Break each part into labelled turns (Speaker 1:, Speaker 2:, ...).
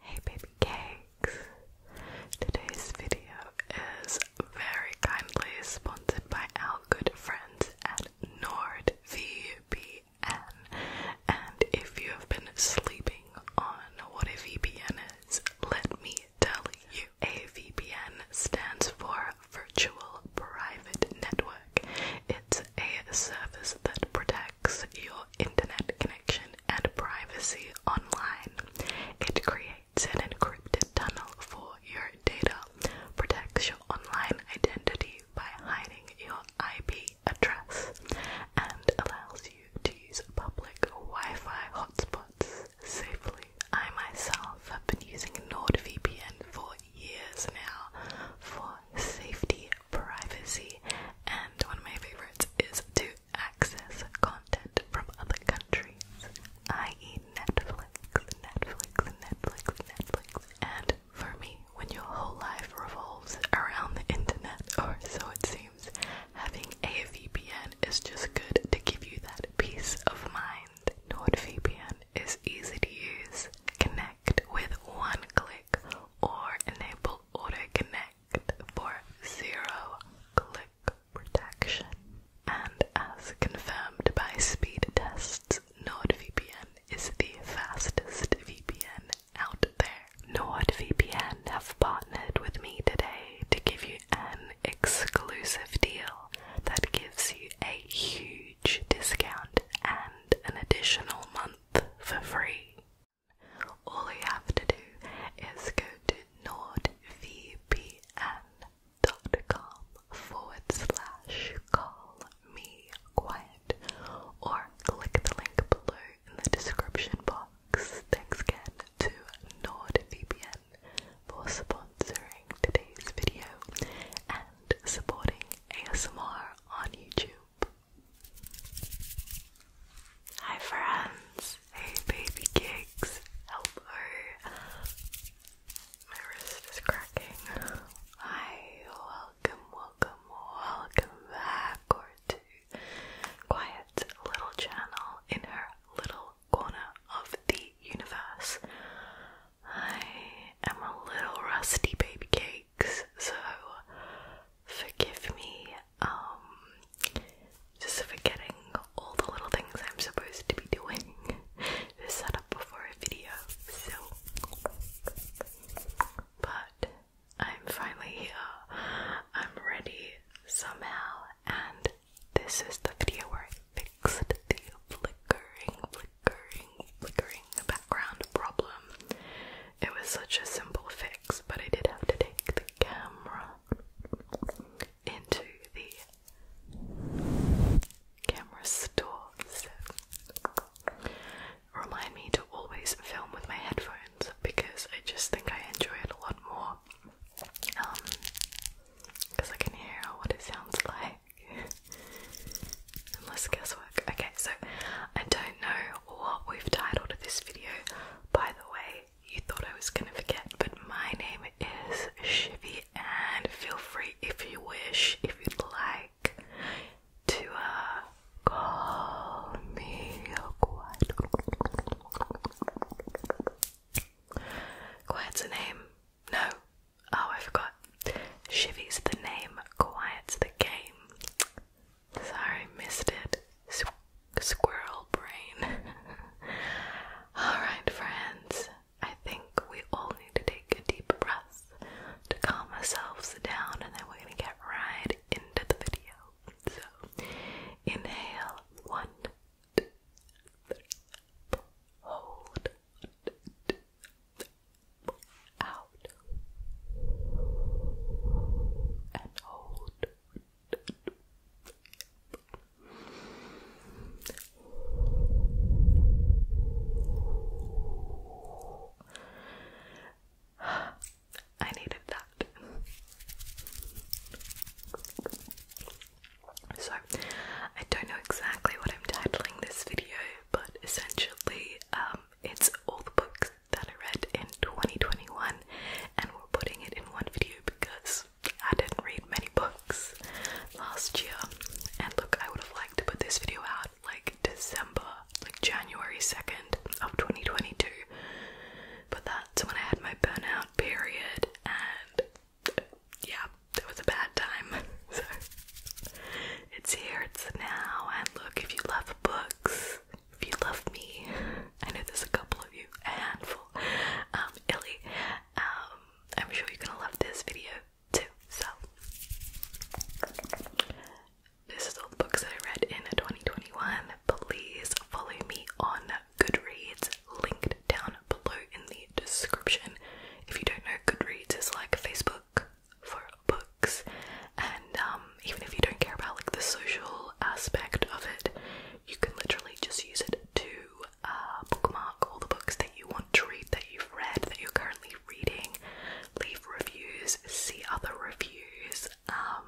Speaker 1: Hey baby cakes! Today's video is very kindly sponsored by our good friends at NordVPN. And if you have been sleeping on what a VPN is, let me tell you. A VPN stands for Virtual Private Network. It's a service that protects your internet connection and privacy online. It creates an encrypted tunnel for your data, protects your online identity by hiding your IP address, and allows you to use public Wi Fi hotspots safely. I myself have been using NordVPN for years now for safety, privacy, and one of my favorites is to access content from other countries, i.e., Netflix, Netflix, Netflix, Netflix. And for me, when your whole life revolves around the internet, or so it seems, having a VPN is just good to give you that peace of mind. NordVPN is easy to use. Connect with one click or enable auto connect for zero click protection and as confirmed by speed tests, NordVPN is the fastest VPN out there. NordVPN have partnered with me today to give you an exclusive deal that gives you a huge discount and an additional month for free. All you have to do is go to nordvpn.com forward slash call me quiet or click the link below in the description box. Thanks again to NordVPN for sponsoring today's video and supporting ASMR on YouTube. Hi friends, hey baby gigs, hello. My wrist is cracking. Hi, welcome, welcome, welcome back or to Quiet Little Channel in her little corner of the universe. I am a little rusty baby cake so forgive me um just forgetting all the little things I'm supposed to be doing to set up before a video. So but I'm finally here. I'm ready somehow and this is the video where I fixed the flickering, flickering, flickering background problem. It was such a simple fix, but I did have to take the camera into the camera store. remind me to always film with my headphones because I just think I enjoy it a lot more. Um, because I can hear what it sounds like. Unless guesswork. Okay, so I don't know what we've titled this video. By the way, you thought I was gonna forget, but my name is Shivy, and feel free if you wish, if you'd like, to uh, call me Quiet. Quiet's a name. No. Oh, I forgot. Shivy's the name. Quiet's the game. Sorry, missed it. squirrel brain. Alright, friends. I think we all need to take a deep breath to calm ourselves down, and then we're going to get right into the video. So, inhale one, hold, out, and hold. I needed that. So, I don't know exactly what I'm titling this video, but essentially, um, it's all the books that I read in 2021 and we're putting it in one video because I didn't read many books last year and look I would have liked to put this video out like December like January 2nd of 2022 but that's when I had my burnout period and yeah it was a bad time so it's here it's now and look if you love books if you love me, I know there's a couple of you, a handful, um, um I'm sure you're gonna love this video too. So, this is all the books that I read in 2021. Please follow me on Goodreads, linked down below in the description. If you don't know, Goodreads is like Facebook for books and um, even if you don't care about like the social aspect of it you can literally just use it to uh, bookmark all the books that you want to read that you've read that you're currently reading leave reviews see other reviews um,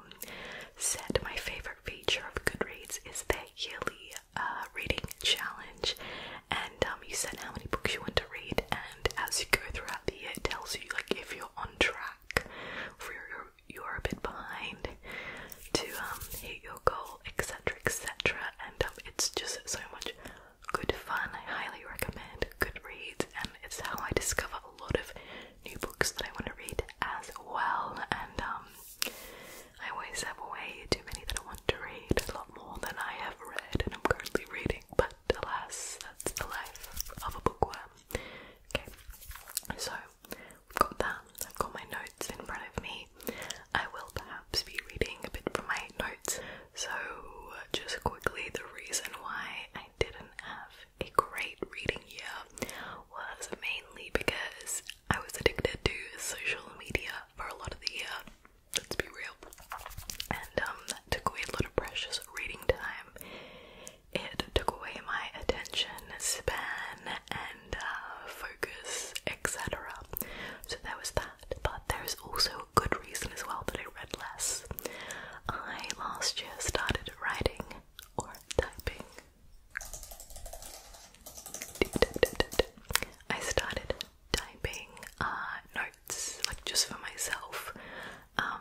Speaker 1: said my favorite feature of goodreads is their yearly uh, reading challenge and um, you set how many books you want to read and as you go throughout the year it tells you like if you're on track for your you are a bit behind to um, hit your goal, etc., etc. And um, it's just so much good fun. I highly recommend Goodreads, and it's how I discover a lot of new books that I want to read as well. And um, I always have way too many that I want to read, a lot more than I have read, and I'm currently reading. But alas, that's the life of a bookworm. Okay, so got that. I've got my notes in front of me. I will perhaps be reading a bit from my notes. So, just quickly, the reason why I didn't have a great reading year was mainly because I was addicted to social media for a lot of the year. Let's be real. And um, that took away a lot of precious reading time it took away my attention span and uh, focus, etc. So there was that, but there's also a good reason as well that I read less. I last year started writing or typing. I started typing uh, notes, like just for myself. Um,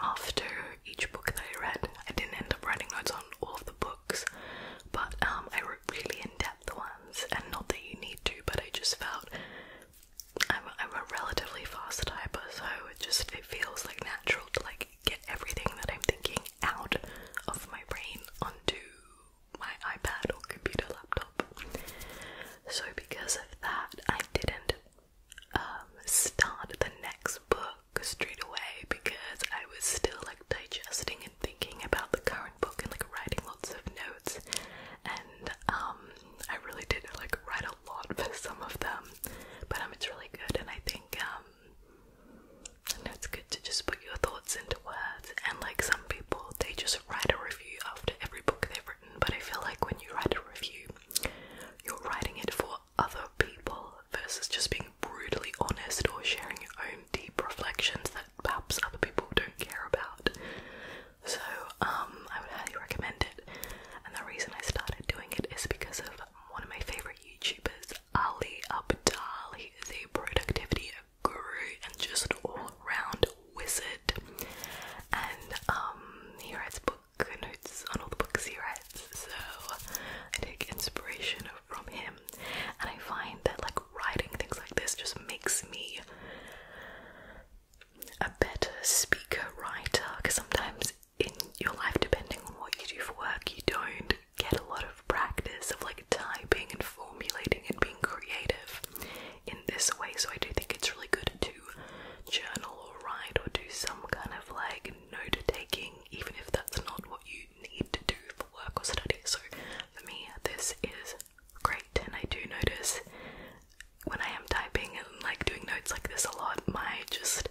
Speaker 1: after each book that I read. I didn't end up writing notes on all of the books, but um, I wrote really in depth ones, and not that you need to, but I just felt I'm a relatively fast typer, so it just it feels like natural to like get everything that I'm thinking out of my brain onto my iPad or computer laptop. So because of that, I did not um, start the next book straight away because I was still like digesting and thinking about the current book and like writing lots of notes, and um, I really did like write a lot for some of them, but um, it's really good, and I think um, and it's good to just put your thoughts into words, and like some people, they just write a review after every book they've written, but I feel like when you write a review, you're writing it for other people versus just being brutally honest or sharing your own deep reflections that perhaps other people don't care about. So, um, I would highly recommend it. And the reason I started doing it is because of one of my favorite YouTubers, Ali Abdaal. He is a productivity guru and just all-round wizard. And um, he writes book on all the books he reads, so I take inspiration from him, and I find that like writing things like this just makes me a better speaker writer because sometimes in your life, depending on what you do for work, you don't get a lot of practice of like typing and formulating and being creative in this way. So I do think it's really good to journal or write or do some kind of like note taking, even if that's not what you need to do for work or study. So for me, this is great, and I do notice when I am typing and like doing notes like this a lot, my just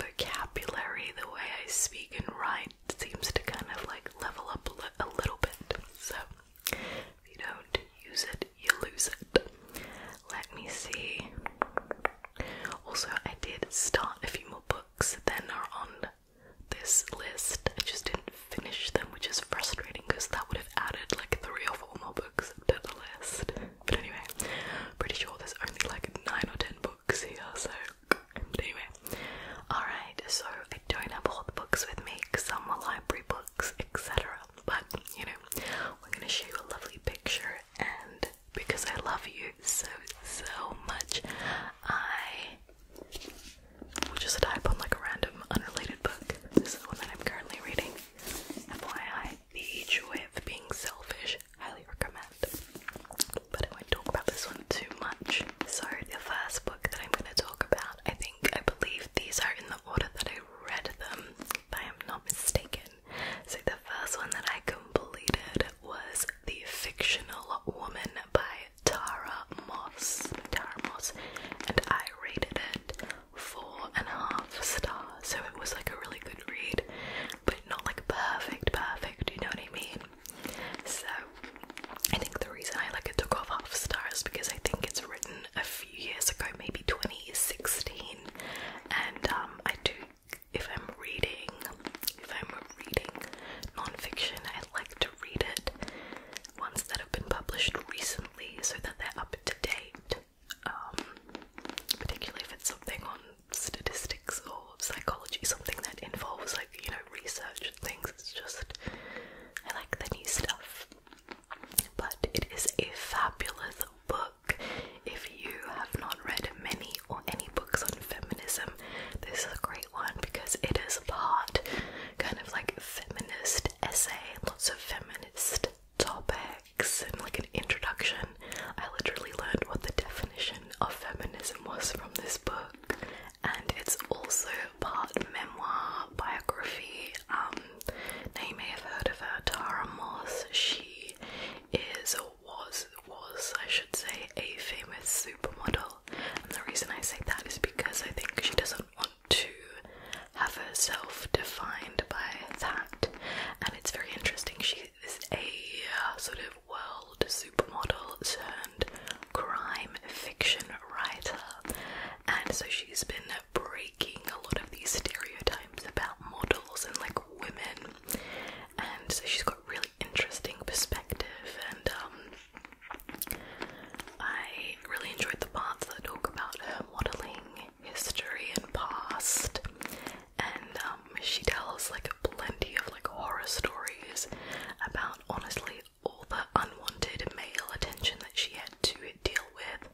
Speaker 1: vocabulary, the way I speak and write, seems to kind of like level up a little bit. So if you don't use it, you lose it. Let me see. Also, I did start a few more books that are on this list. I just didn't finish them, which is frustrating because that would have added like three or four more books to the list. But anyway, pretty sure there's only like nine or ten books here, so but anyway. Alright, so I don't have all the books with me because some are library books, etc. But you know, we're gonna show you a lovely picture and because I love you so, so much, I will just type on like a random unrelated book. This is the one that I'm currently reading. FYI, The Joy of Being Selfish. Highly recommend. But I won't talk about this one too much. So, the first book that I'm going to talk about, I think, I believe these are in the order that I read them, if I am not mistaken. So the first one that I completed was The Fictional Woman by Tara Moss. Tara Moss. And I rated it four and a half stars. So it was like a really good read, but not like perfect, perfect, you know what I mean? So I think the reason I like it took off half stars because I think it's written a few years ago, maybe 2016, and um, I do if I'm reading if I'm reading non I like to read it ones that have been published recently so that they're up to date um, particularly if it's something on statistics or psychology something that involves like you know research and things it's just I like the new stuff but it is a fabulous book if you have not read many or any books on feminism, this is a great one because it is part kind of like feminist essay, lots of feminist topics and like an introduction. I literally learned what the definition of feminism was from this book. And it's also part memoir, biography. Um, you may have heard of her, Tara Moss. She is was was I should say a famous supermodel, and the reason I say that is because I think she doesn't want to have herself defined by that, and it's very interesting. She is a uh, sort of world supermodel turned crime fiction writer, and so she's been breaking a lot of these stereotypes times about models and like women, and so she's got really interesting perspective. And um, I really enjoyed the parts that talk about her modeling history and past, and um, she tells like plenty of like horror stories about honestly all the unwanted male attention that she had to deal with Smith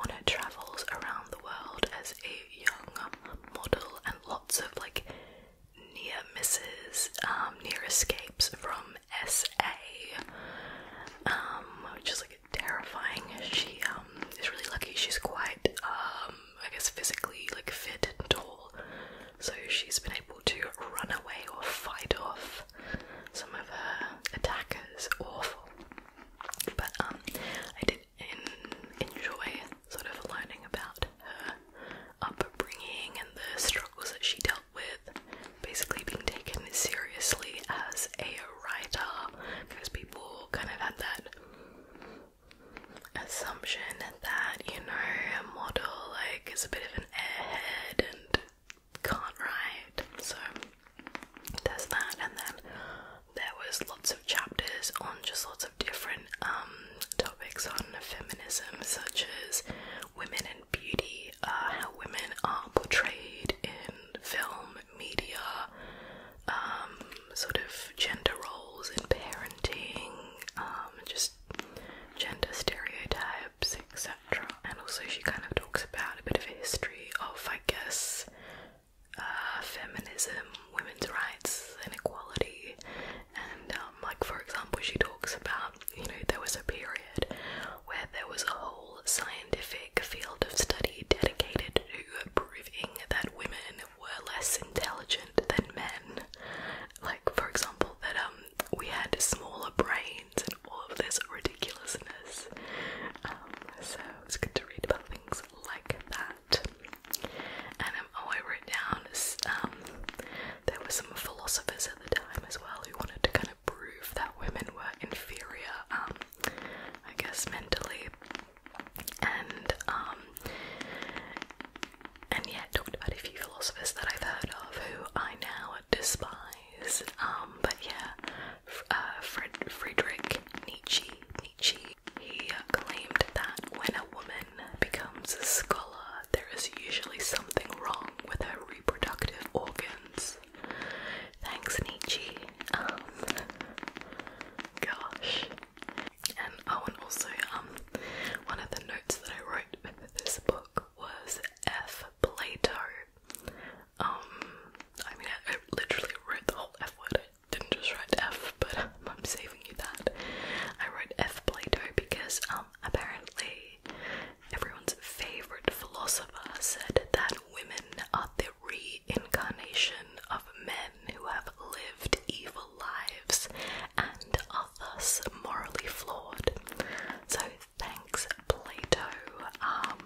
Speaker 1: on her travels around the world as a young model and lots of like near misses, um, near escapes from SA, um, which is like terrifying. She um, is really lucky, she's quite, I guess, physically like fit and tall, so she's been able to run away or fight off some of her attackers. Awful. But I did and enjoy sort of learning about her upbringing and the struggles that she dealt with, basically being taken seriously as a writer because people kind of had that assumption that, you know, a model like is a bit of an airhead and can't write. So there's that, and then there was lots of chapters on just lots of different um, topics on feminism, such as women and beauty, uh, how women are portrayed in film, media, um, sort of gender roles in parenting, um, just gender stereotypes, etc. And also, she kind of talks about a bit of a history of, I guess, uh, feminism, women's rights, inequality, And, um, like, for example, she talks about, you know, there was a period where there was a whole scientific field of study dedicated to proving that women were less intelligent than men. Like, for example, that um, we had smaller brains and all of this ridiculousness. Um, so it's good to read about things like that. And um, oh, I wrote down um, there were some philosophers at the time as well who wanted to kind of prove that women were inferior, um, I guess mentally, and um, and yeah, talked about a few philosophers that I've heard of who I now despise. Um, but yeah, F uh, Fred Friedrich Nietzsche, Nietzsche, he claimed that when a woman becomes a scholar, there is usually something wrong with her reproductive organs. Thanks, Nietzsche. Um, gosh. And oh, and also, um, one of the notes that I wrote for this book was F. Plato. Um, I mean, I literally wrote the whole F word didn't just write F, but I'm saving you that. I wrote F. Plato because um, apparently everyone's favorite philosopher said that women are the reincarnation of men who have lived evil lives and are thus morally flawed. So thanks, Plato. Um,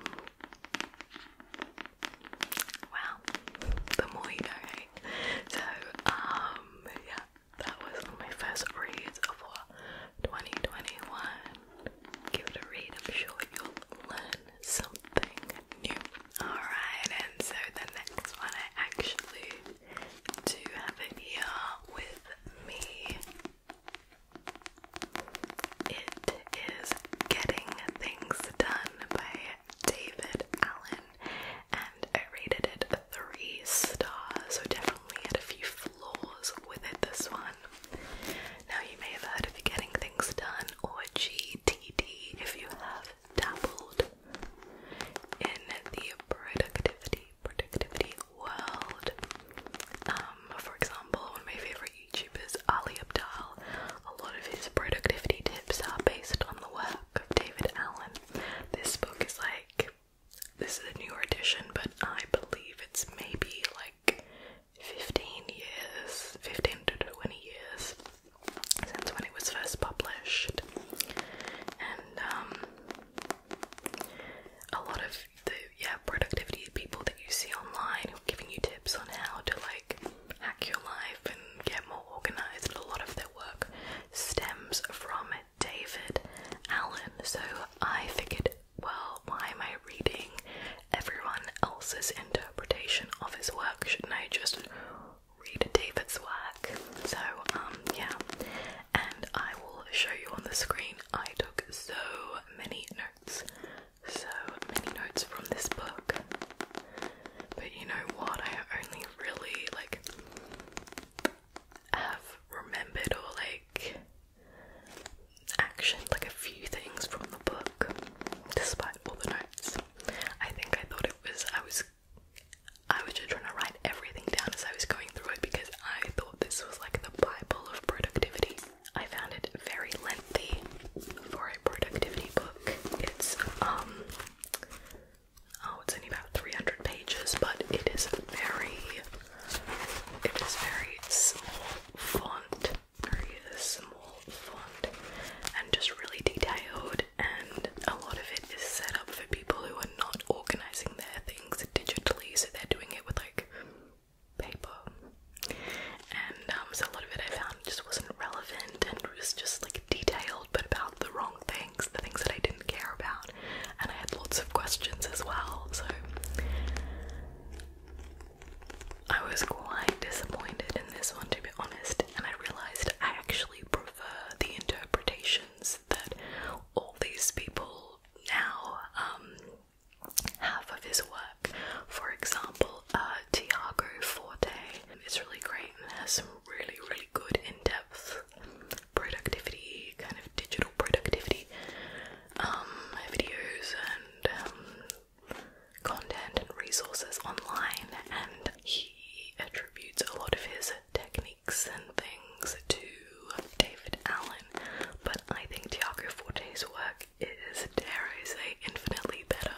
Speaker 1: well, the more you know, So, um, yeah, that was my first read of 2021. Give it a read, I'm sure you'll learn something new. Alright, and so the next one I actually do have here with me. It is Getting Things Done by David Allen, and I rated it three stars, so definitely had a few flaws with it. This one. Now you may have heard of Getting Things Done or GTD if you have dabbled in the productivity productivity world. Um, for example, one of my favorite YouTubers, Ali Abdal, a lot of his productivity tips are based on the work of David Allen. This book is like this is a newer edition, but I believe it's maybe like 15 years, 15 to 20 years since when it was first published. And um, a lot of the yeah productivity people that you see online are giving you tips on how to like hack your life and get more organized. A lot of their work stems from David Allen. So I figured, well, why am I reading everyone else's interpretation of his work? Shouldn't I just read David's work? So, um, yeah. And I will show you on the screen. I took so many notes so many notes from this book. But you know what? I only really like have remembered or like actioned like a few things from the book despite all the notes. I think I thought it was I was I was just trying to write everything down as I was going through it because I thought this was like the Bible of productivity. I found it very lengthy the for a productivity book. It's um oh it's only about 300 pages, but it is very it is very small font, very small font, and just really detailed. And a lot of it is set up for people who are not organizing their things digitally, so they're doing it with like paper and um, so a lot of it I found just wasn't relevant and was just like detailed but about the wrong things, the things that I didn't care about, and I had lots of questions as well, so I was quite disappointed in this one to be honest, and I realised I actually prefer the interpretations that all these people now um, have of his work. For example, label uh, Tiago Forte. It's really great and has some really, really good in-depth productivity, kind of digital productivity um, videos and um, content and resources online. And he attributes a lot of his techniques and things to David Allen, but I think Tiago Forte's work it is, dare I say, infinitely better,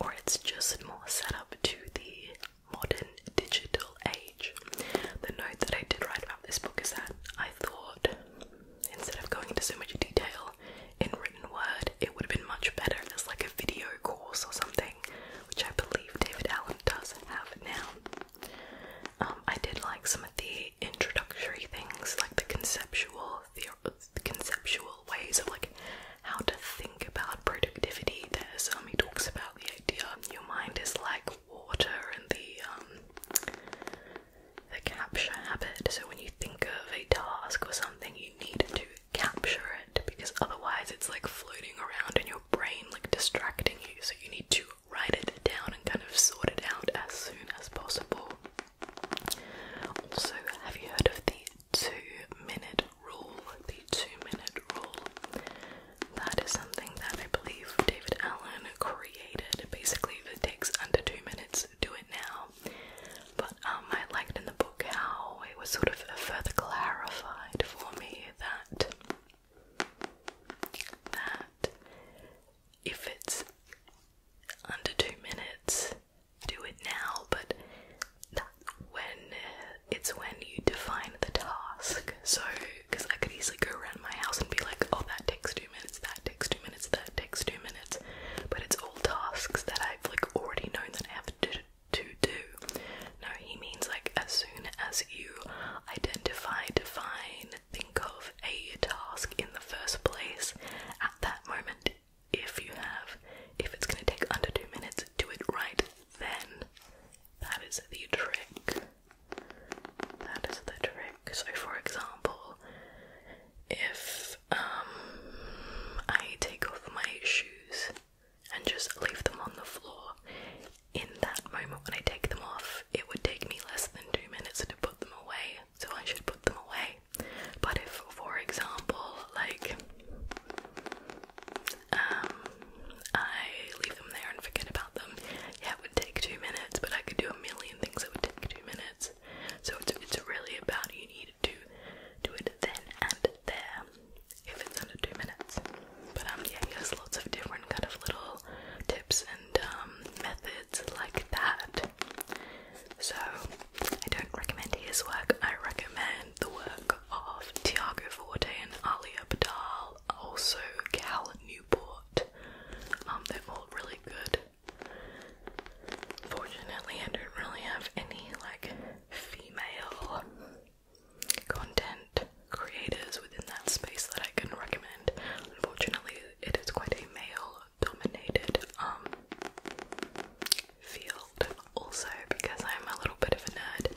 Speaker 1: or it's just more set up to the modern digital age. The note that I did write about this book is that I thought instead of going into so much detail in written word, it would have been much better as like a video course or something, which I believe David Allen does have now. Um, I did like some of the introductory things, like the conceptual, the uh, conceptual ways of like how to think about productivity. There's um he talks about the idea your mind is like water and the um the capture habit. So when you think of a task or something you need to capture it because otherwise it's like floating around in your brain like distracting you. So you need to write it down and kind of sort it out as soon as possible. Also, have you heard of the two minute rule, the two minute rule. That is something that I believe David Allen created. Basically, if it takes under two minutes, do it now. But um, I liked in the book how it was sort of further clarified for me that that if it's under two minutes, do it now, but that when uh, it's when you define the task. So, because I could easily go around my house and be like, oh, that takes two minutes, that takes two minutes, that takes two minutes, but it's all tasks that I've like already known that I have to, to do. No, he means like as soon as you identify, define, think of a task in the first place, at that moment if you have. If it's going to take under two minutes, do it right then. That is the trick. That is the trick. So, for example, if um, I take off my shoes and just leave them on the floor, in that moment when I take them off, it would take me less than two minutes to put them away. So I should put them away but if, for example, like um, I leave them there and forget about them, yeah, it would take two minutes. But I could do a million things that would take two minutes. So it's it's really about you need to do it then and there if it's under two minutes. But um, yeah, he has lots of different kind of little tips and um methods like that so I don't recommend his work, I recommend the work of Tiago Forte and Aliya Abdal, also Cal Newport. Um, they're all really good. Fortunately, I don't really have any like female content creators within that space that I can recommend. Unfortunately, it is quite a male dominated um, field also because I'm a little bit of a nerd.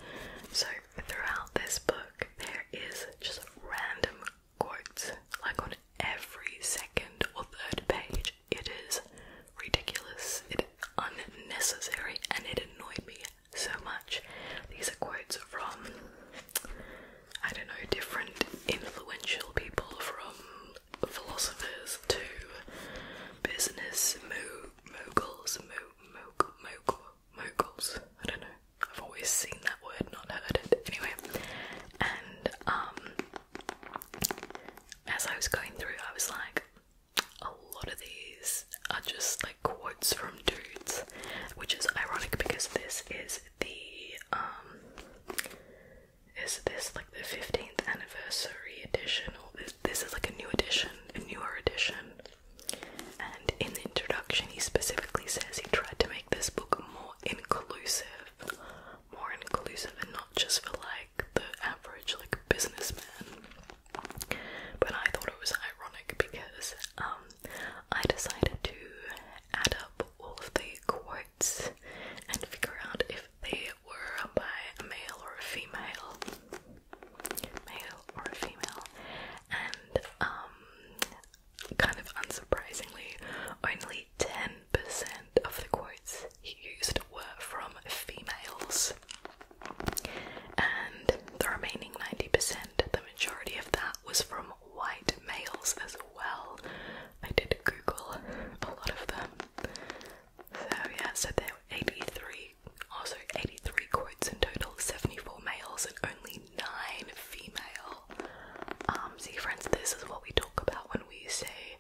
Speaker 1: So throughout this book there is just random quotes like on every second or third page. It is ridiculous, it is unnecessary and it annoyed me so much. These are quotes from I don't know, different influential people from philosophers to business mo moguls, mo mog mog moguls. I don't know. I've always seen that word, not heard it. Anyway, and um, as I was going through, I was like, a lot of these are just like quotes from dudes, which is ironic because this is the um is this like the 15th anniversary edition or this, is like a new edition a newer edition and in the introduction he specifically says he tried to make this book more inclusive more inclusive and not just for like the average like businessman but i thought it was ironic because um i decided to add up all of the quotes and figure out if they were by a male or a female. Male or a female. And um kind of unsurprisingly, only 10% of the quotes he used were from females. And the remaining 90%, the majority of that was from white males as well. I did Google a lot of them. So yeah, so there were 83, also 83 quotes in total, 74 males and only 9 female. Um, see friends, this is what we talk about when we say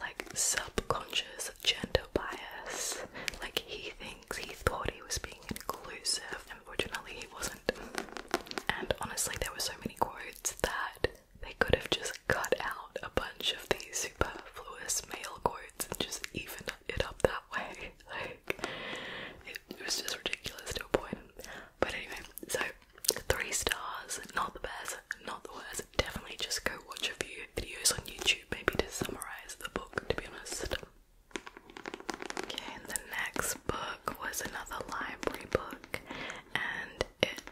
Speaker 1: like subconscious gender bias. Like he thinks he thought he was being inclusive, unfortunately he wasn't. And honestly there were so many quotes that they could have just cut out a bunch of these superfluous male quotes and just even it up that way. Like, it, was just ridiculous to a point. But anyway, so three stars, not the best, not the worst. Definitely just go watch a few videos on YouTube, maybe to summarize the book, to be honest. Okay, the next book was another library book, and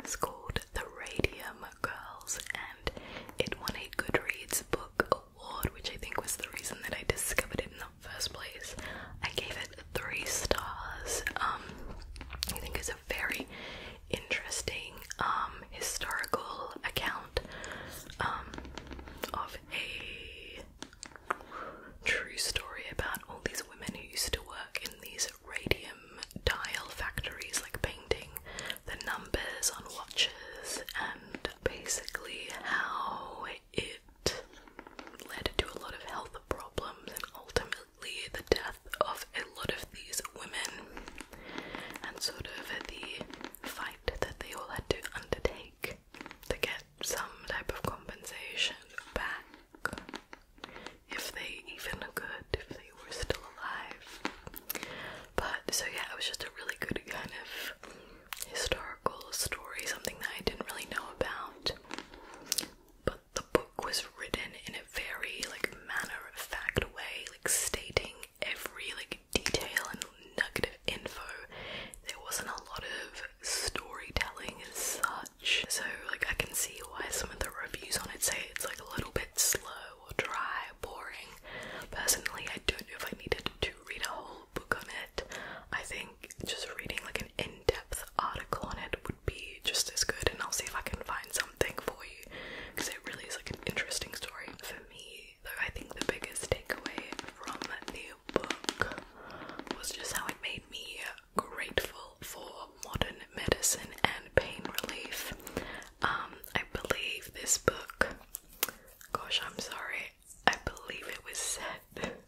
Speaker 1: it's called The Radium Girls and it won a Goodreads book award, which I think was the reason that I discovered it in the first place. I gave it three stars. Um, I think it's a very interesting um, historical account um, of a true story about all these women who used to work in these radium dial factories like painting the numbers on watches and basically how it led to a lot of health problems and ultimately the death of a lot of these women and sort of the fight that they all had to undertake to get some type of compensation back if they even good, if they were still alive. But so yeah, it was just a really good kind of historical story, something that I didn't really know about. But the book was written in a very like matter of fact way, like stating every like detail and negative info. There wasn't a lot of storytelling and such. So like I can see why some of the reviews on it say it's like a little bit slow or dry, boring. Personally, I don't know if I needed to read a whole book on it. I think just reading like an in depth article on it would be just as good, and I'll see if I can find something for you because it really is like an interesting story for me. Though I think the biggest takeaway from the book was just how it made me grateful for modern medicine and pain relief. Um, I believe this book, gosh, I'm sorry, I believe it was set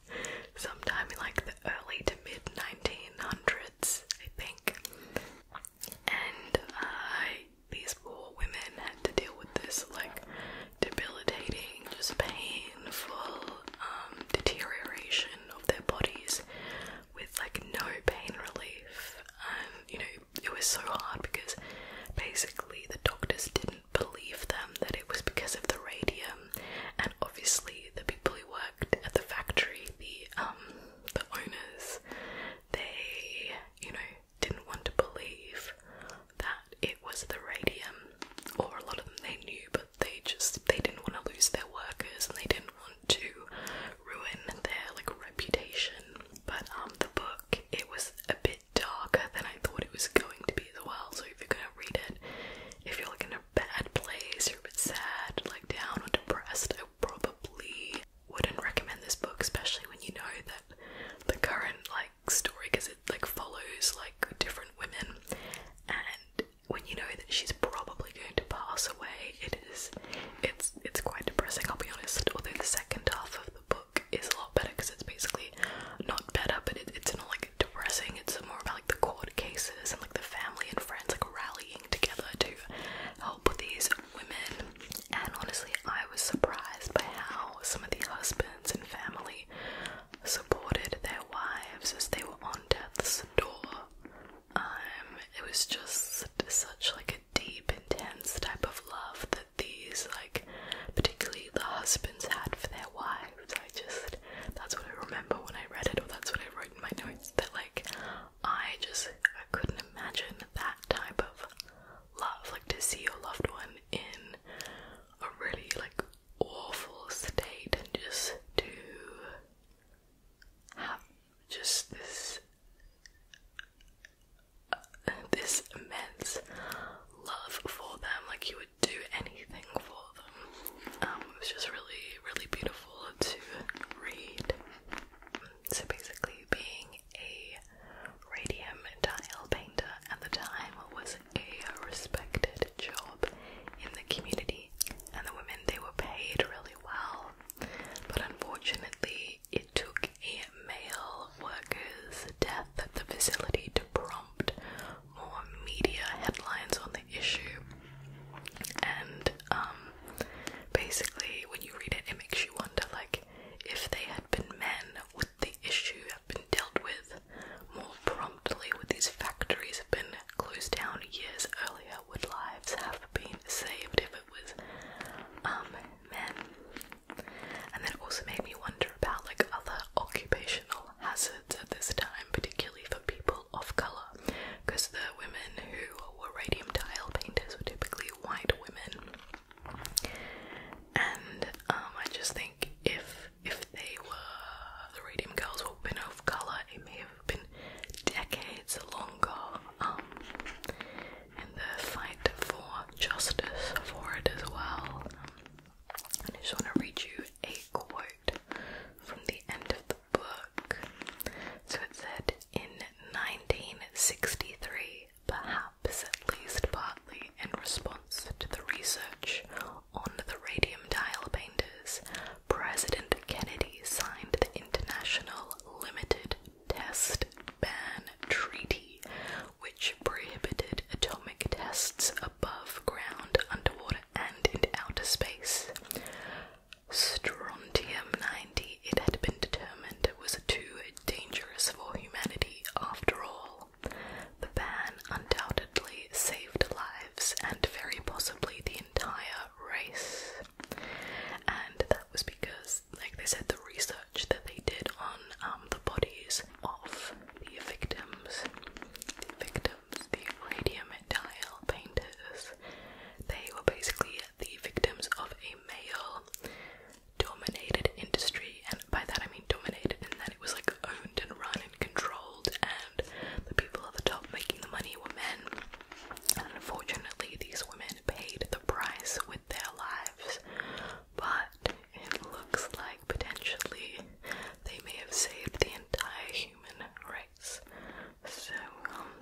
Speaker 1: sometime in like the early to mid 1900s, I think. And uh, these poor women had to deal with this like debilitating, just painful um, deterioration of their bodies with like no pain relief. and um, you know, it was so hard because basically the doctors didn't believe them that it was because of the radium, and obviously the people who worked at the factory, the um, the owners, they you know didn't want to believe that it was the radium, or a lot of them they knew, but they just they didn't want to lose their workers and they didn't want to ruin their like reputation. But um the book it was a bit darker than I thought it was going to be as well. So if you're gonna read it, if you're like in a bad place, you're a bit sad, like down or depressed, I probably wouldn't recommend this book, especially when you know that the current like story because it like follows like different women and when you know that she's probably going to pass away it is it's it's quite depressing I'll be honest although the second half of the book is a lot better because it's basically not better but it's it's not like depressing it's more about like the court cases and like the family and friends like rallying together to help these women and honestly I was surprised by how some of the husbands and family supported their wives as they were on death's door um, it was just such like a deep, intense type of love that these like particularly the husbands had for their wives. I just that's what I remember when I read it or that's what I wrote in my notes that like I just I couldn't imagine that type of love, like to see your loved one in a really like awful state and just to have just this uh, this immense love for them. Like you would do anything for them. Um, it was just really, really beautiful to read. So basically, being a radium tile painter at the time was a respected job in the community, and the women they were paid really well but unfortunately, it took a male worker's death at the facility to prompt more media headlines on the issue. And um, basically, when you read it, it makes you wonder, like, if they had been men, would the issue have been dealt with more promptly? Would these factories have been closed down years earlier, would lives have been saved if it was um, men? And that also made me wonder about like other occupational hazards at this time, particularly for people of colour, because the women who were radium tile painters were typically white women. And um, I just think if if they were the radium girls were women of colour, it may have been decades longer, um, in the fight for justice for it as well. I just want to read you a quote from the end of the book. So it said, in 1963, perhaps at least partly in response to the research on the radium dial painters, President Kennedy signed the International Limited Test Ban Treaty, which prohibited atomic tests above ground, underwater, and in outer space. Strontium 90, it had been determined, was too dangerous for humanity after all. The ban undoubtedly saved lives and very possibly the entire race. And that was because, like they said, the research that they did on um, the bodies of the victims, the victims, the radium tile painters, they were basically the victims of a male dominated industry, and by that I mean dominated, and that it was like owned and run and controlled, and the people at the top making the money were men unfortunately, these women paid the price with their lives, but it looks like potentially they may have saved the entire human race. So, um,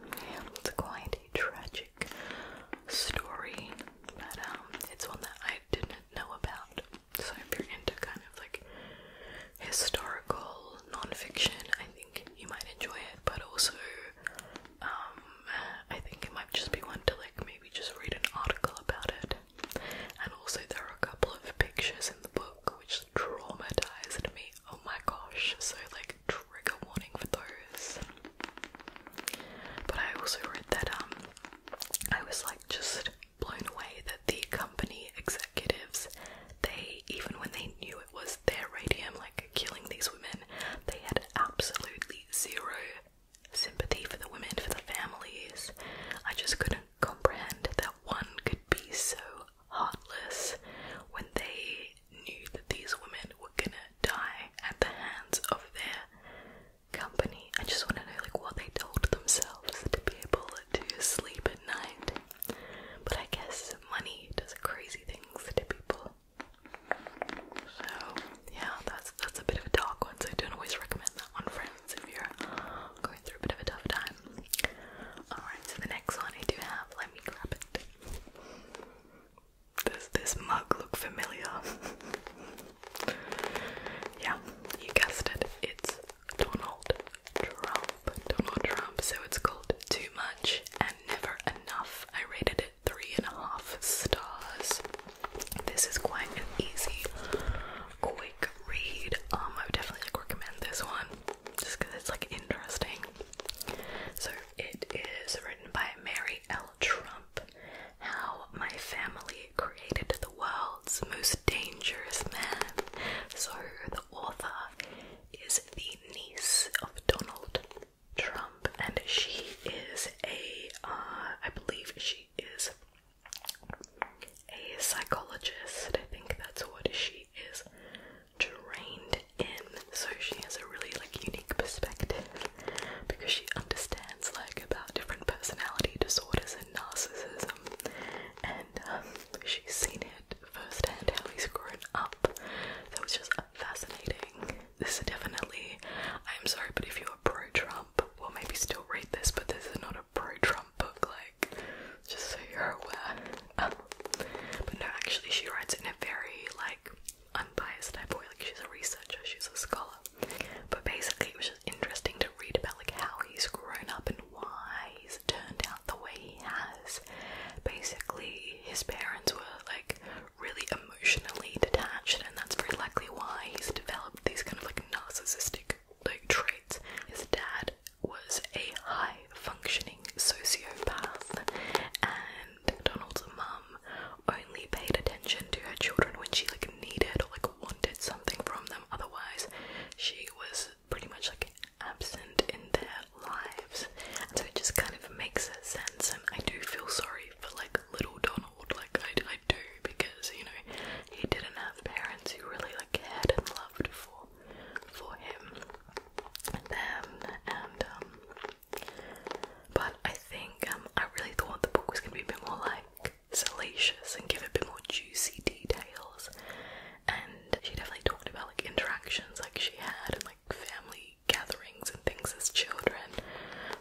Speaker 1: it's quite a tragic story, um, it's one that I didn't know about. So, if you're into kind of like historical non I think you might enjoy it, but also um, I think it might just be one to like maybe just read an article about it. And also, there are a couple of pictures in the book which traumatized me. Oh my gosh! So like trigger warning for those. But I also read that um, I was like just blown away that the company executives, they even when they knew was their radium, like killing these women. They had absolutely zero sympathy for the women, for the families. I just couldn't comprehend that one could be so heartless when they knew that these women were gonna die at the hands of their company. I just want to know like what they told themselves to be able to sleep at night. But I guess money does crazy things to people. So yeah, that's that's a bit of a dark one, so don't always recommend that one, friends, if you're going through a bit of a tough time. Alright, so the next one I do have, let me grab it. Does this mug look familiar? yeah, you guessed it. It's Donald Trump. Donald Trump. So it's called Too Much Never Enough. I rated it three and a half stars. This is quite an easy, quick read. Um, I would definitely recommend this one just because it's like interesting. So it is written by Mary L. Trump. How my family created the world's most dangerous man. So the author is the niece of Donald Trump, and she is a—I uh, believe she is a psychologist. I think that's what she is trained in. So she has a really like unique perspective because she understands like about different personality disorders and narcissism, and um, she's seen it firsthand how he's grown up. That was just fascinating. This is definitely. I'm sorry, but if you are pro Trump, well, maybe still read this, but this is not a pro Trump book, like, just so you're aware. Um, but no, actually, she writes in a very, like, unbiased way. Like, she's a researcher, she's a scholar. But basically, it was just interesting to read about, like, how he's grown up and why turned out the way he has. Basically, his parents were like really emotionally detached, and that's very likely why he's developed these kind of like narcissistic like traits. His dad was a high functioning sociopath, and Donald's mum only paid attention to her children when she like needed or like wanted something from them. Otherwise, she was pretty much like absent in their lives, and so it just kind of makes sense. And I do feel sorry for like little Donald, like I, I do, because you know he didn't have parents who really like cared and loved for for him and and um, but I think um, I really thought the book was gonna be a bit more like salacious and give a bit more juicy details. And she definitely talked about like interactions like she had and like family gatherings and things as children,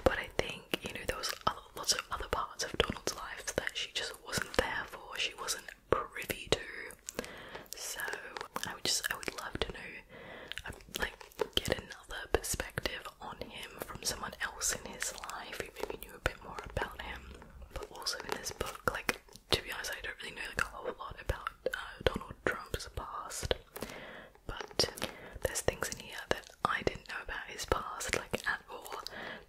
Speaker 1: but I think you know there was other, lots of other parts of Donald's life that she just wasn't there for. She wasn't privy to. So I would just I would love to know, um, like, get another perspective on him from someone else in his life who maybe knew a bit more about him. But also in this book, like to be honest, I don't really know like a whole lot about uh, Donald Trump's past, but there's things in here that I didn't know about his past, like at all.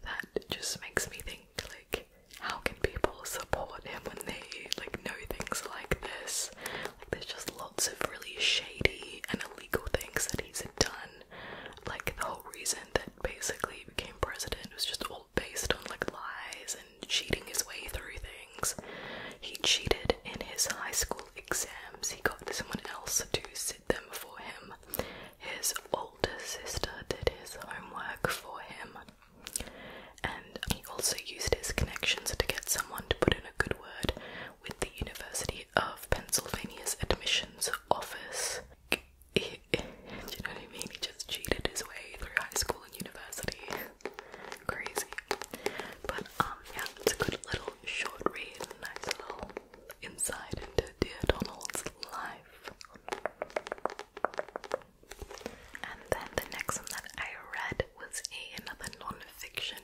Speaker 1: That just makes me think, like, how can people support him when they like know things like this? Like, there's just lots of really shady and illegal things that he's done. Like the whole reason that basically he became president was just all based on like lies and cheating his way through things. He cheated in his high school exams. He got someone else to sit them for him. His older sister did his homework for him. And he also used his connections to get someone to put in a good word with the University of Pennsylvania's admissions office. you know what I mean? He just cheated his way through high school and university crazy. But um yeah, it's a good little short read, nice little insight into Dear Donald's life. And then the next one that I read was a, another non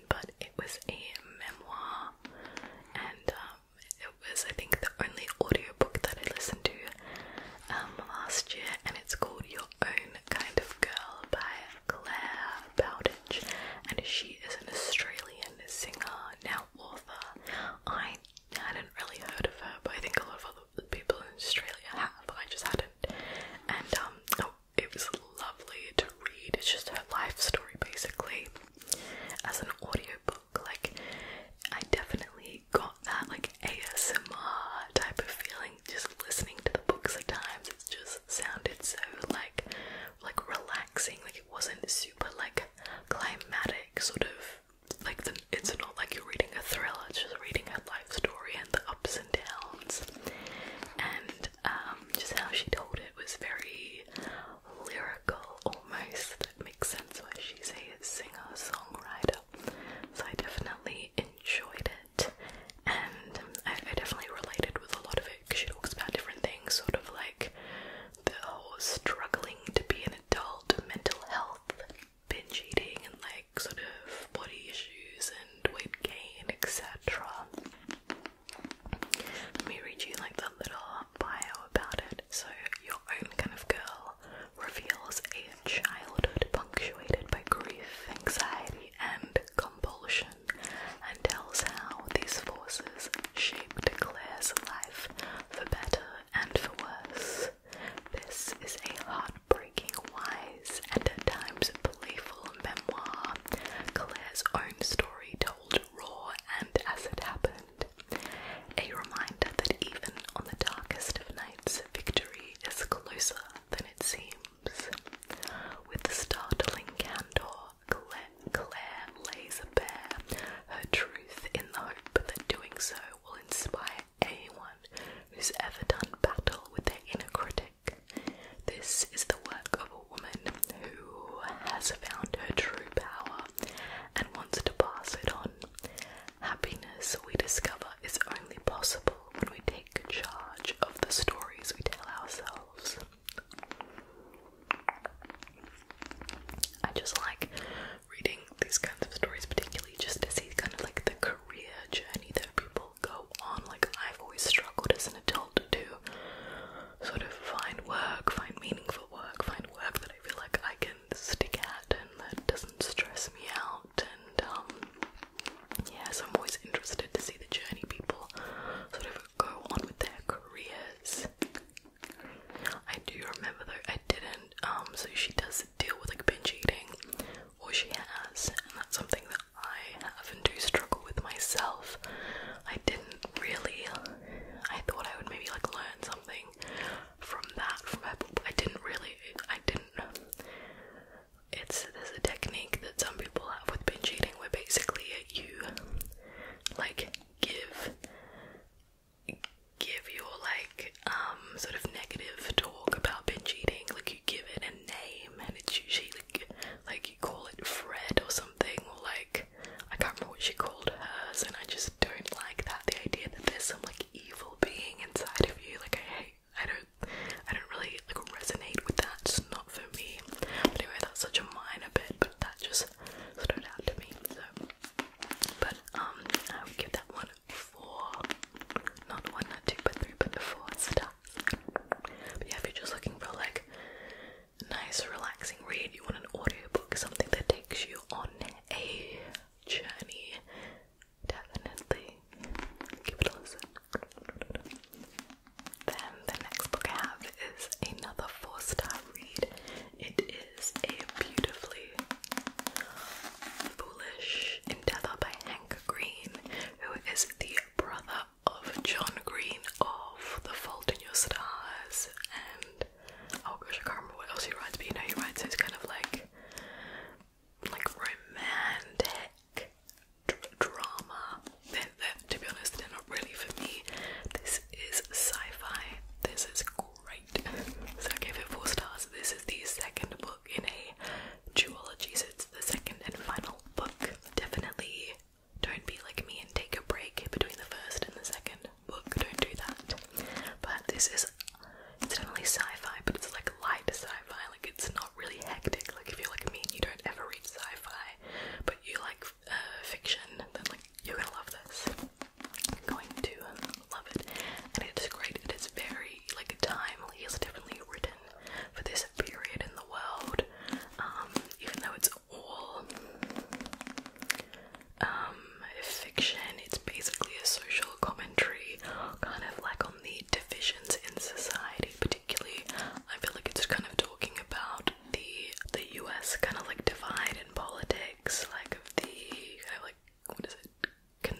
Speaker 1: but it was a memoir, and um, it was I think the only audiobook that I listened to um, last year, and it's called Your own Kind of Girl by Claire Bowditch, and she is an Australian singer, now author. I hadn't really heard of her, but I think a lot of other people in Australia have. I just hadn't. And um, oh, it was lovely to read. It's just her life story basically as an audiobook. Like, I definitely got got that like ASMR type of feeling just listening to the books at times. It just sounded so like like relaxing. Like it wasn't super like climatic sort of like it's not like you're reading a thriller, it's just reading a life story and the ups and downs. And um, just how she told it was very lyrical almost. That makes sense why she's a singer songwriter. So I definitely enjoyed it it, and I, I definitely related with a lot of it because she talks about different things, sort of like the whole struggling to be an adult, mental health, binge eating, and like sort of body issues and weight gain, etc. Let me read you like the little bio about it. So, your own kind of girl reveals a childhood punctuated by grief, anxiety, and compulsion, and tells how these forces shaped Claire's life for better and for worse. This is a heartbreaking, wise, and at times playful memoir, Claire's own story told raw and as it happened. A reminder that even on the darkest of nights, victory is closer than it seems. With the startling candor, Claire, Claire lays bare her truth in the hope that doing so will inspire anyone who's ever done battle with their inner critic. This is the work of a woman who has found her true power and wants to pass it on. Happiness, we discover, is only possible when we take charge of the stories we tell ourselves. I just like reading these kinds of stories, particularly just to see kind of like the career journey that people go on. Like, I've always struggled as an adult to sort of find work, find meaningful work, find work that I feel like I can stick at and that doesn't stress me out. And um, yes, I'm always interested to see the journey people sort of go on with their careers. I do remember though, I didn't, um, so she does deal with like binge eating, or she has, and that's something that I often do struggle with myself. I didn't really, I thought I would maybe like learn something from that, from her, but I didn't really, I didn't it's there's a technique that some people have with binge eating where basically you like give give your like um sort of negative talk about binge eating like you give it a name and it's usually like like you call it Fred or something or like I can't remember what she called hers and I just don't like that the idea that there's some like evil being inside of you like I hate I don't I don't really like resonate with that. It's not for me. anyway, that's such a minor bit, but that just stood out to me. So but um I would give that one four not one, not two, but three, but four stars. But yeah, if you're just looking for like nice relaxing read, you want an audiobook, something that takes you on a journey definitely give it a listen. Then the next book I have is another four star read. It is A Beautifully Foolish Endeavor by Hank Green, who is the brother of John Green of The Fault in Your Stars and oh gosh, I can't remember what else he writes, but you know he writes those kind of like like romantic drama. to be honest, they're not really for me. This is sci-fi. This is great. So I gave it four stars. This is the second book in a trilogy. So it's the second and final book. Definitely don't be like me and take a break between the first and the second book. Don't do that. But this is it's definitely sci-fi, but it's like light sci-fi. Like it's not really hectic. Like if you're like me and you don't ever read sci-fi, but you like uh, fiction, then like you're gonna love this. going to um, love it, and it's great. It is very like timely. It's definitely written for this period in the world. Um, even though it's all um, fiction, it's basically a social commentary, kind of like the divisions in society, particularly. I feel like it's kind of talking about the the US kind of like divide in politics, like of the like what is it? Can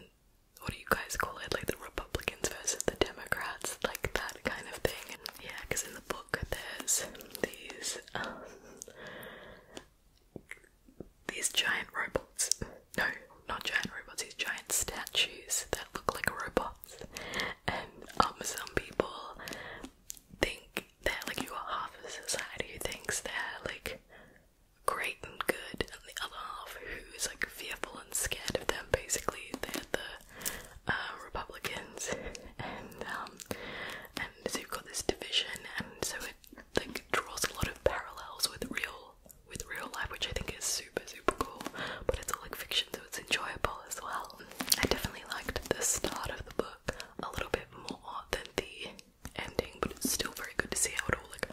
Speaker 1: what do you guys call it? Like the Republicans versus the Democrats, like that kind of thing. yeah, because in the book there's these um, these giant robots no, not giant robots, these giant statues that look like robots. And Amazon um, people think that like you are half of society who thinks they're like great and good and the other half who is like fearful and scared of them basically they're the uh, Republicans um, and so you've got this division and so it like draws a lot of parallels with real with real life, which I think is super, super cool. But it's all like fiction, so it's enjoyable as well. I definitely liked the start of the book a little bit more than the ending, but it's still very good to see how it all like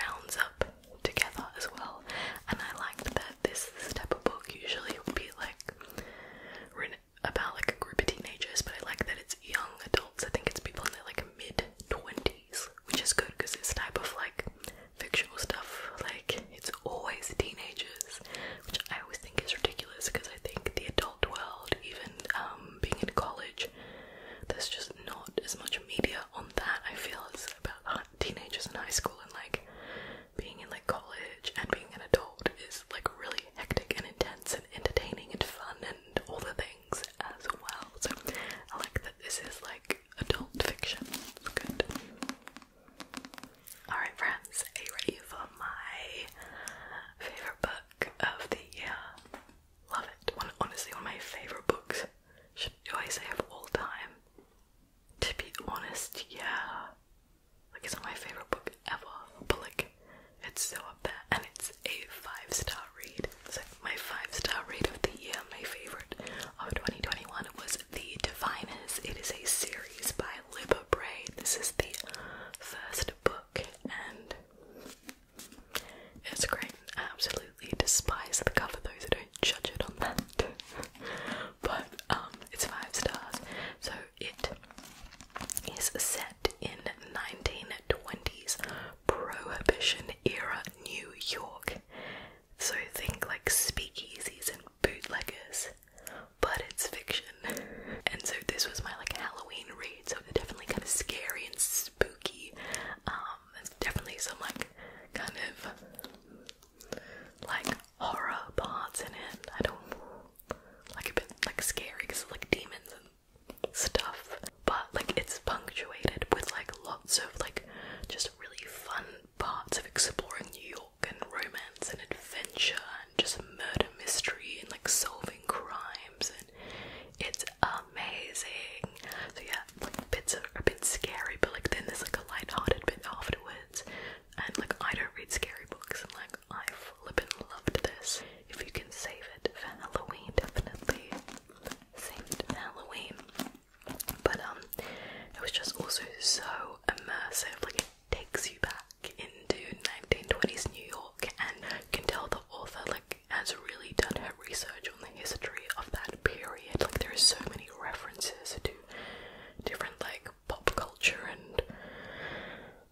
Speaker 1: rounds up together as well. And I liked that this, type of book usually would be like written about like a group of teenagers, but I like that it's young adults. I think it's people in their like mid twenties, which is good because this type of like fictional stuff, like it's always teenagers, which I always think is ridiculous because I think the adult world, even um, being in college, there's just not as much media on that. I feel as about teenagers in high school and like being in like college and being an adult is like really hectic and intense and entertaining and fun and all the things as well. So I like this is like adult fiction. good. Alright, friends, are you for my favourite book of the year? Love it. honestly, one of my favourite books, should do I say, of all time. To be honest, yeah. Like, it's my favourite book ever, but like, it's so up there, and it's a five star star my five star read of the year, my favorite of 2021 was The Diviners. It is a series by Libba Bray. This is the first book and it's great. I absolutely despise the cover those who don't judge it on that. but um, it's five stars. So it is set in 1920s prohibition era New York so think like speakeasies and bootleggers, but it's fiction. And so this was my like Halloween read, so it's definitely kind of scary and spooky. Um, there's definitely some like kind of like horror parts in it. I don't like a bit like scary because like demons and stuff but like it's punctuated with like lots of like just really fun parts of exploring New York and romance and adventure and just murder mystery and like solving crimes and it's amazing. So yeah, like bits are a bit scary, but like then there's like a light-hearted bit afterwards. And like I don't read scary books, and like I flippin' loved this. If you can save it for Halloween, definitely save Halloween. But um, it was just also so immersive. Like it takes you back into 1920s New York, and can tell the author like has really done her research on the history of that period. Like there are so many references to different like pop culture and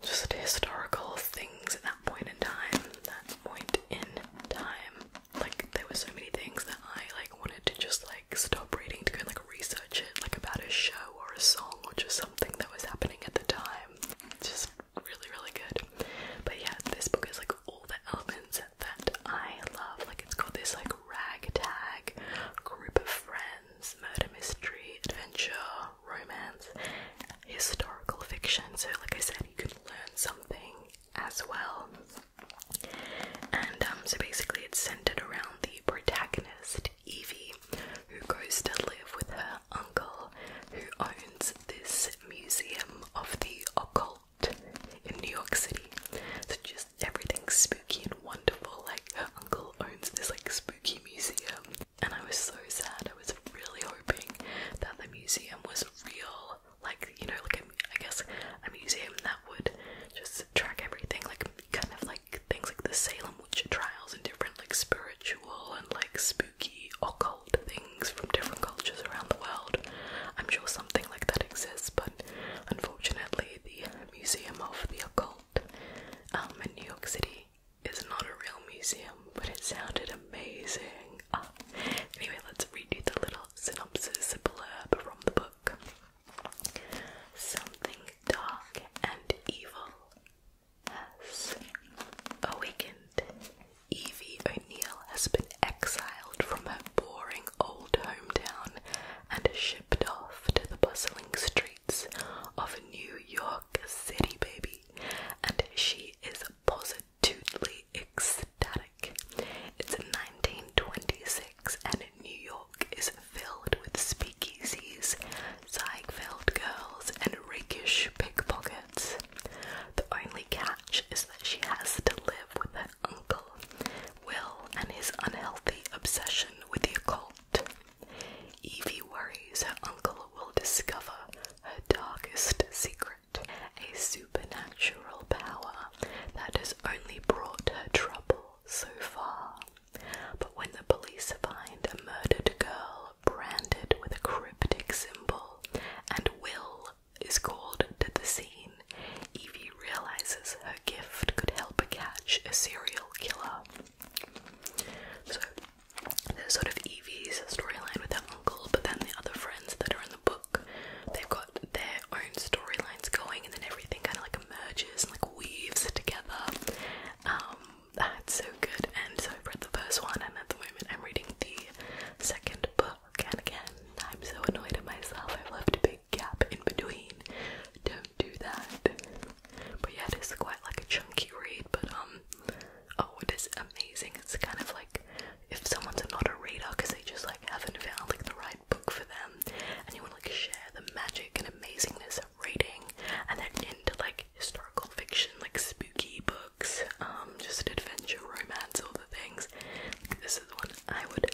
Speaker 1: just historical things at that point in time. That point in time like there were so many things that I like wanted to just like stop reading to go and like research it like about a show or a song or just something that was happening at the time. It's just really really good. But yeah, this book has like all the elements that I love. Like it's got this like ragtag group of friends, murder mystery, adventure, romance, historical fiction. So like I said, you can learn something as well. And um, so basically, it's centered around the protagonist, Evie, who goes to live with her uncle, who owns this museum of the occult in New York City. So just everything's spooky and wonderful. Like her uncle owns this like spooky museum, and I was so sad. I was really hoping that the museum was real like you know, like I guess a museum that would just track everything, like kind of like things like the Salem witch trials and different like spiritual and like spooky occult things from different cultures around the world. I'm sure something like that exists, but unfortunately, the Museum of the Occult um, in New York City is not a real museum, but it sounded amazing. Ah, anyway, let's redo the little synopsis, a blurb from the book. Something dark and evil has awakened. Evie O'Neill has been exiled from her boring old hometown and shipped off to the bustling streets of New York City, baby. And she is positive totally ecstatic. It's 1926 and New York is filled with speakeasies, Ziegfeld girls, and rakish pickpockets. The only catch is that she has to live with her uncle, Will, and his unhealthy obsession with the occult. Evie worries her uncle will discover her darkest secret a supernatural power that has only brought her trouble so far. But when the police find a murdered girl branded with a cryptic symbol and Will is called to the scene, Evie realizes her gift could help catch a serial killer. So, there's sort of Evie's storyline with her uncle, but then the other friends that are in the They've got their own storylines going, and then everything kind of like merges and like weaves together. Um, that's so good. And so i read the first one, and at the moment I'm reading the second book. And again, I'm so annoyed at myself. I've left a big gap in between. Don't do that. But yeah, it is quite like a chunky read, but um, oh, it is amazing. It's kind of like if someone's not a reader because they just like haven't found like the right book for them and you want to share the magic and amazingness of reading and they're into like historical fiction like spooky books um just adventure romance all the things this is the one i would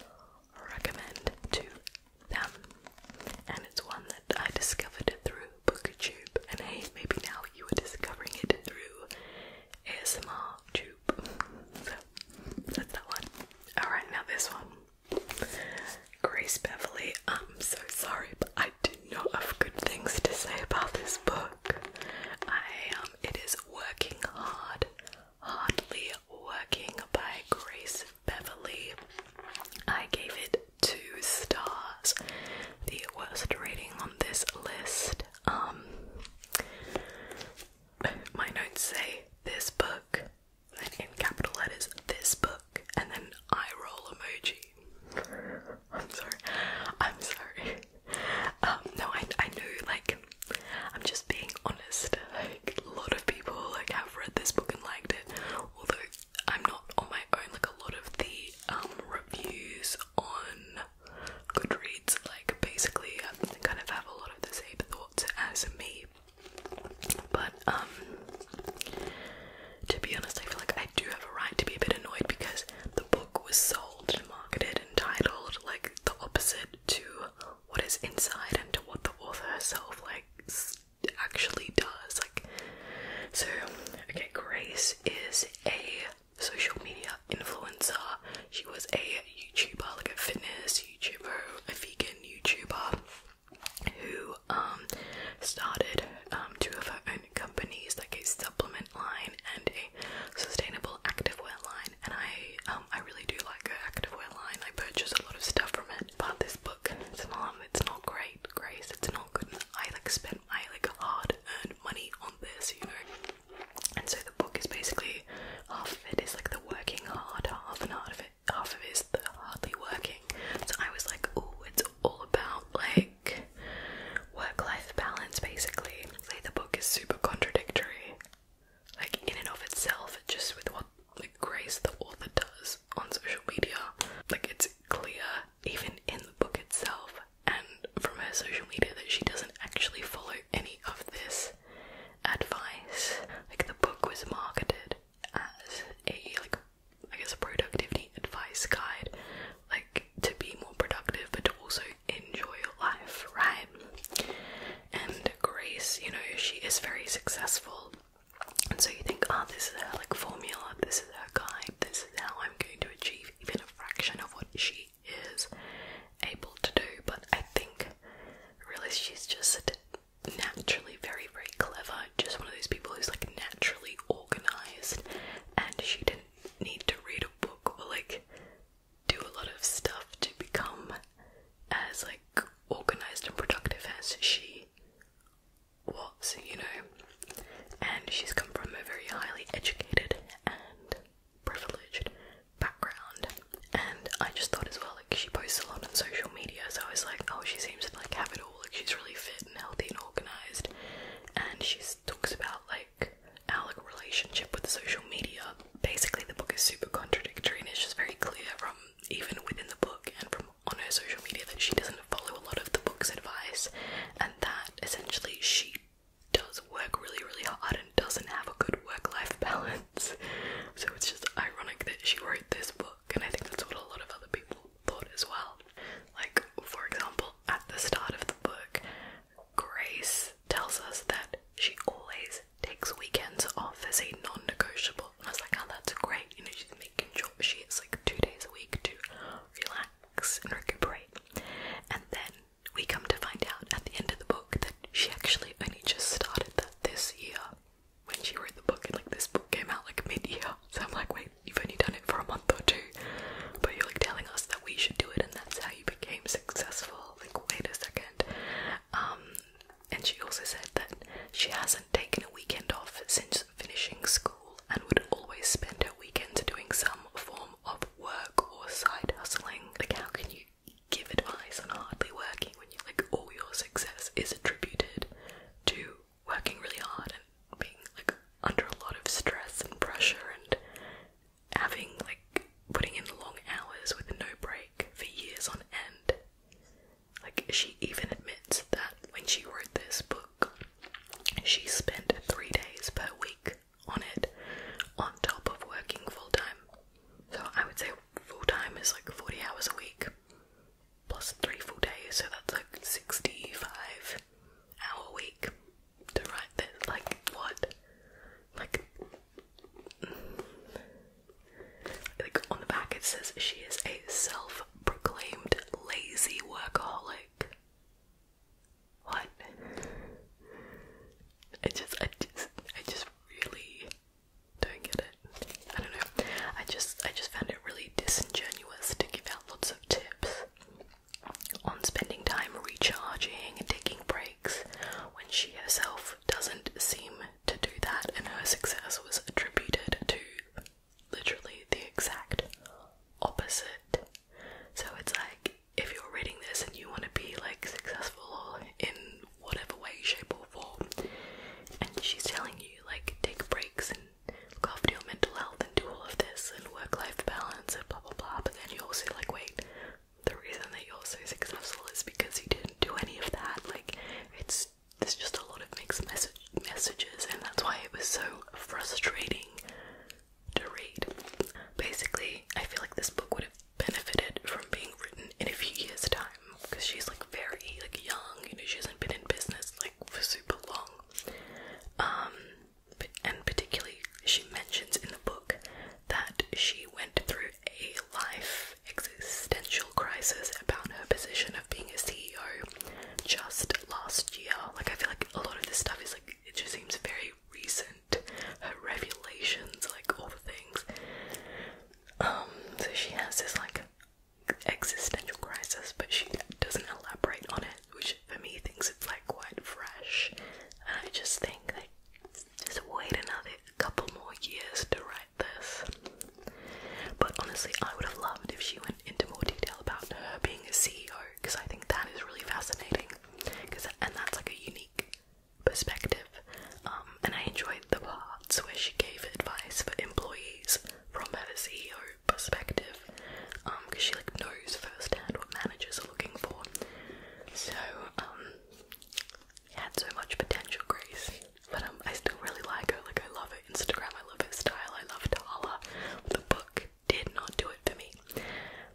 Speaker 1: recommend to them and it's one that i discovered it through booktube and hey maybe now you are discovering it through asmr too that's that one. Alright, now this one. Grace Beverly, I'm so sorry, but I do not have good things to say about this book. I um it is Working Hard, Hardly Working by Grace Beverly. I gave it two stars. The worst rating on this list. Um my notes say this book, then in capital letters, this book, and then eye roll emoji. I'm sorry. I'm sorry. Um, no, I I know like I'm just being honest. Like a lot of people like have read this book and liked it. Although I'm not on my own, like a lot of the um reviews on Goodreads. Like, basically, um, I kind of have a lot of the same thoughts as me. But, um, to be honest, I feel like I do have a right to be a bit annoyed because the book was sold marketed and titled like the opposite to what is inside and to what the author herself, like, actually does. Like, so, okay, Grace is a social media influencer. She was a YouTuber, like a fitness YouTuber, a vegan YouTuber who um, started um two of her own companies, like a supplement line and a sustainable activewear line. And I um, I really do like her activewear line. I purchase a lot of stuff from it. But this book, it's not it's not great, Grace. It's not good. I like spent my like hard earned money on this, you know. And so the book is basically half of it is like the working hard half, and half of it half of it is hardly working. So I was like, oh, it's all about like work-life balance, basically. Say the book is super contradictory, like in and of itself, just with what Grace the author does on social media. Like it's clear even in the book itself and from her social media that she doesn't actually follow any of this advice. Like the book was marketed as a like I guess a productivity advice guide, like to be more productive but to also enjoy life, right? And Grace, you know, she is very successful. And so you think, ah, oh, this is her like formula, this is her guide, this is how I'm going to achieve even a fraction of what she is able to do, but I think really she's just naturally very, very clever. Just one of those people who's like naturally organized, and she didn't need to read a book or like do a lot of stuff to become as like organized and productive as she was, you know. And she's come from a very highly educated and privileged background and I just thought as well like she posts a lot on social media so I was like oh she seems to like have it all like she's really fit and healthy and organized and she talks about like our relationship with social media basically the book is super contradictory and it's just very clear from even within the book and from on her social media that she doesn't follow a lot of the book's advice and that essentially she does work really, really hard and doesn't have a good work life balance. So it's just ironic that she wrote this book, and I think that's what a lot of other people thought as well. Like, for example, at the start of the book, Grace tells us that she always takes weekends off as a non negotiable. And I was like, oh, that's great. You know, she's making sure she has like two days a week to relax and recuperate. And then we come to find out at the end of the book that she actually only just started that this year when she wrote the book, and like this book came out like mid year. So I'm like, wait, you've only done it for a month or two, but you're like telling us that we should do it, and that's how you became successful. Like, wait a second. Um, and she also said that she hasn't taken a weekend off since finishing school and would always spend her weekends doing some form of work or side hustling. Like, how can you give advice on hardly working when you like all your success is attributed to working really hard and being like under a lot of stress and pressure and having like putting in long hours with no break for years on end. Like she even admits that when she wrote this book, she spent three days per week on it on top of working full time. So I would say full time is like 40 hours a week plus three full days, so that's like 65 hour week to write this. Like, what? Like, like on the back it says she is a self proclaimed lazy workaholic. What? I just, I just, I just really don't get it. I don't know. I just, I just found it really disingenuous to give out lots of tips on spending time recharging and taking breaks when she herself doesn't seem to do that, and her success was attributed to literally the exact opposite. So it's like if you're reading this and you want to be like successful in whatever way, shape, or form, and she's telling you like take breaks and look after your mental health and do all of this and work life balance and blah blah blah, but then you also like, wait, the reason that you're so successful is because you didn't do any of that. Like, it's there's just a lot of mixed message messages, and that's why it was so frustrating to read. Basically, I feel like this book would have benefited from being written in a few years' time because she's like very like young, you know, she hasn't been in business like for super long. Um, but, and particularly, she mentions in the book that she went through a life existential crisis about her position of being a CEO just last year. Like, I feel like a lot of this stuff is like it just seems very recent and her revelations, like all the things. Um, so she has this like existential crisis, but she doesn't elaborate on it, which for me thinks it's like quite fresh. And I just think like just wait another couple more years to write this. But honestly, I would have loved if she went into more detail about her being a CEO because I think that is really fascinating. Because and that's like a unique perspective, um, and I enjoyed the parts where she gave advice for employees from her CEO perspective, because um, she like knows firsthand what managers are looking for. So, um, it had so much potential, Grace, but I still really like her. Like, I love her Instagram, I love her style, I love Tala. The book did not do it for me,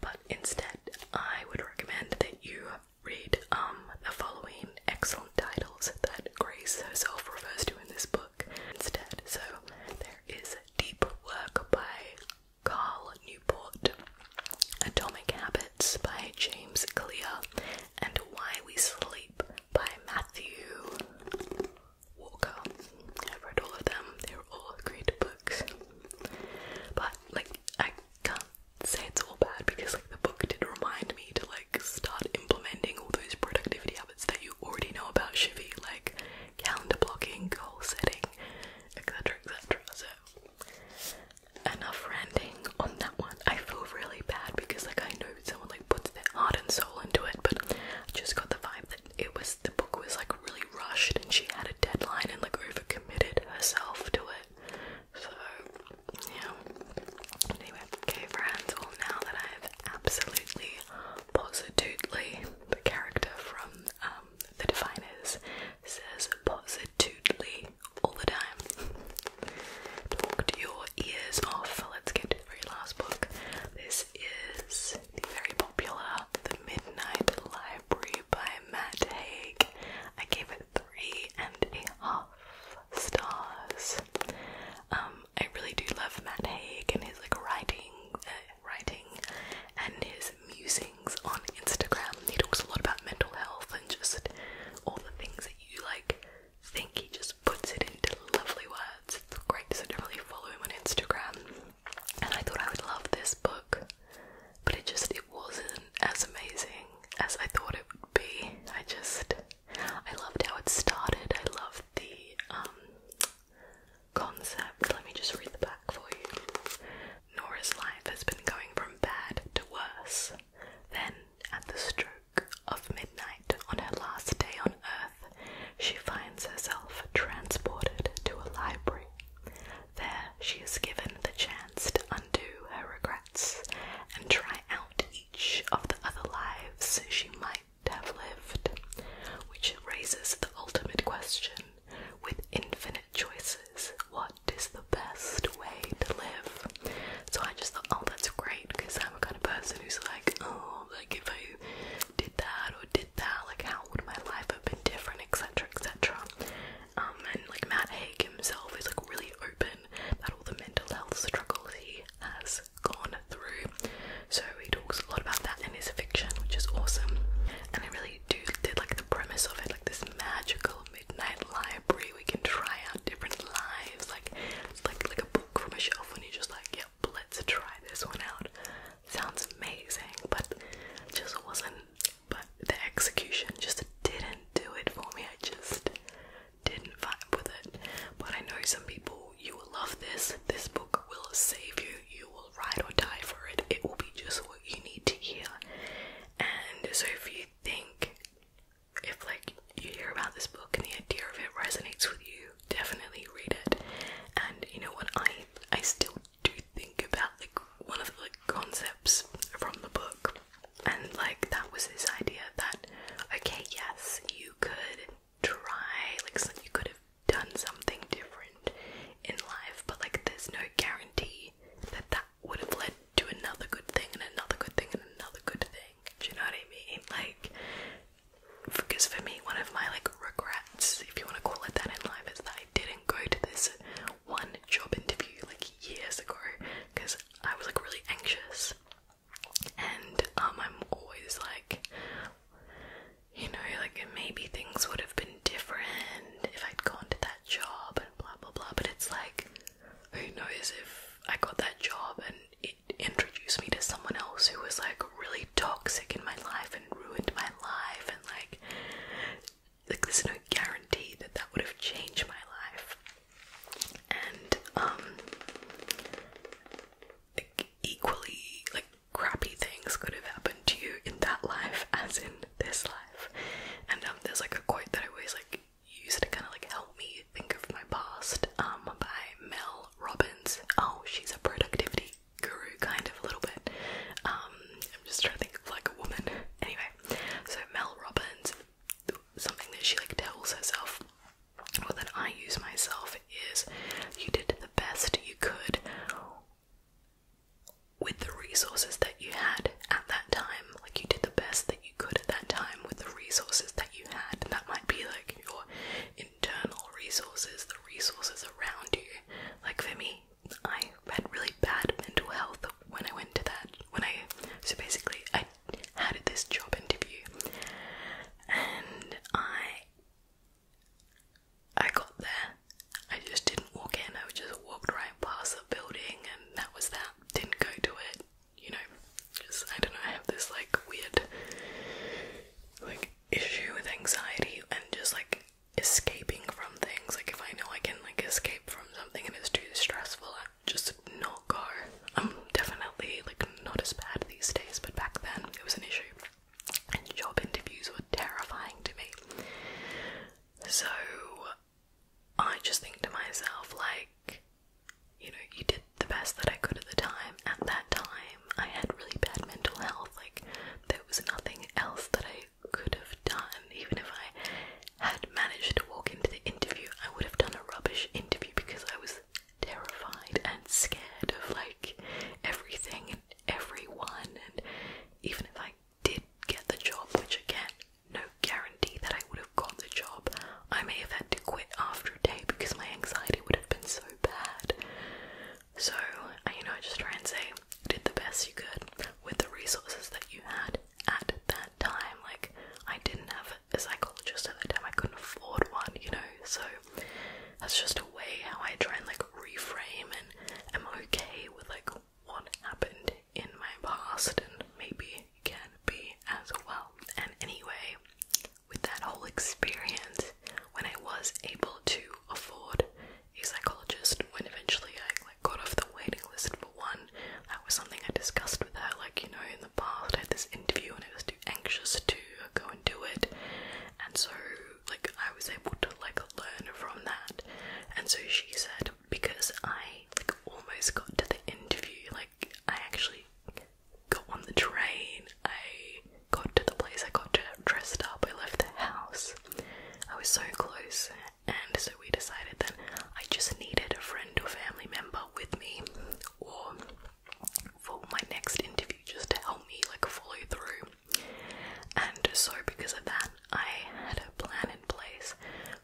Speaker 1: but instead, I would recommend that you read um the following excellent titles that Grace herself refers to in this book instead. So there is Deep Work by Carl Newport, Atomic Habits by James Clear, and Why We Sleep by Matthew Walker. I've read all of them, they're all great books. But like I can't say it's all bad because like the book did remind me to like start implementing all those productivity habits that you already know about Shivi, like calendar blocking, goal setting, etc. etc. So enough ranting on that one. I feel really bad because like I know someone like puts their heart and soul into it, but just got the vibe that it was the book was like really rushed and she had a deadline and like overcommitted herself to it. So, yeah. Anyway, okay, friends, well, now that I have absolutely, positively, the character from um, The Definers says positively all the time. Talked your ears off. Let's get to the very last book. This is the very popular Midnight Library by Matt Haig. I gave it three and a half stars. Um, I really do love Matt Haig and his like writing, uh, writing, and his musings on Instagram. He talks a lot about mental health and just all the things that you like think he just puts it into lovely words. It's great, so I really follow him on Instagram. And I thought I would love this book but it just it wasn't as amazing as I thought it would be. I just I loved how it started. I loved the um, concept. Let me just read the back for you. Nora's life has been going from bad to worse. Then at the stroke of midnight on her last day on earth, she finds herself transported to a library. There, she is given the chance to undo her regrets and try out each of the other lives she might have lived, which raises the ultimate question with infinite choices what is the best way to live? So I just thought, oh, that's great because I'm a kind of person who's like, oh, like if I did that or did that, like how would my life have been different, etc., etc. Um, and like Matt Haig himself is like really open about all the mental health struggles he has gone through. So he talks a lot about that in his fiction, which is awesome. And I really do did like the premise of it, like this magical midnight library. We can try out different lives, like it's like like a book from a shelf, and you just like, yep, let's try this one out. Sounds amazing, but just wasn't but the execution just didn't do it for me. I just didn't vibe with it. But I know some people, you will love this. This book will save you. You will ride or die for it. It will be just what you need to hear. And so if you think, if like you hear about this book and the idea of it resonates with you, definitely read it. And you know what? I I still to think about like one of the like concepts from the book and like that was this idea that okay yes you could try like so you could have done something different in life but like there's no guarantee that that would have led to another good thing and another good thing and another good thing do you know what I mean like because for me one of my like regrets if you want to call it that in life is that I didn't go to this one job interview like years ago because I was like really anxious, and um, I'm always like, you know, like maybe things would have been different if I'd gone to that job and blah blah blah. But it's like, who knows if I got that job and it introduced me to someone else who was like really toxic in my life and ruined my life and like like there's no guarantee that that would have changed my life. And um, equally like crappy things could have happened to you in that life as in this life. And um, there's like a quote that I always like use to kind of like help me think of my past. Um, by Mel Robbins. Oh, she's a productivity guru, kind of a little bit. Um, I'm just trying to think of like a woman. Anyway, so Mel Robbins, something that she like tells herself, or that I use myself, is you did the best you could with the resources that you had at that time. Like you did the best that you could at that time with the resources that you had. And that might be like your internal resources, the resources around you. Like for me, I had really bad mental health when I went to that. When I so basically I had this job interview, and I I got there. I just didn't walk in. I just walked right past the building, and that was that. Didn't go to it. You know, just I don't know. I have this like weird like issue with anxiety and just like escaping from things. Like if I know I can like escape from something and it's too stressful, I just not go. I'm definitely like not as bad these days, but back then it was an issue. job interviews were terrifying to me. So I just think to myself, like, you know, you did the best that I could at the time. At that time, I had really bad mental health. Like, there was nothing else that I could have done, even if I had managed to walk into the interview, I would have done a rubbish interview because I was terrified and scared of like everything and everyone. And even if I did get the job, which again, no guarantee that I would have got the job, I may have had to quit after a day because my anxiety would have been so bad. So, you know, I just try and say, did the best you could with the resources that you had at that time. Like, I didn't have a psychologist at that time, I couldn't afford one, you know? So, that's just a way how I try and like reframe and am okay with like what happened in my past and maybe can be as well. And anyway, with that whole experience, when I was able to afford a psychologist when eventually I like got off the waiting list for one. That was something I discussed with her, like, you know, in the past I had this interview and I was too anxious to go and do it. And so like I was able to like learn from that. And so she said because I like almost got to the interview, like I actually got on the train, I got to the place, I got dressed up, I left the house. I was so close and so we decided that I just needed a friend or family member with me or for my next interview just to help me like follow through. And so because of that I had a plan in place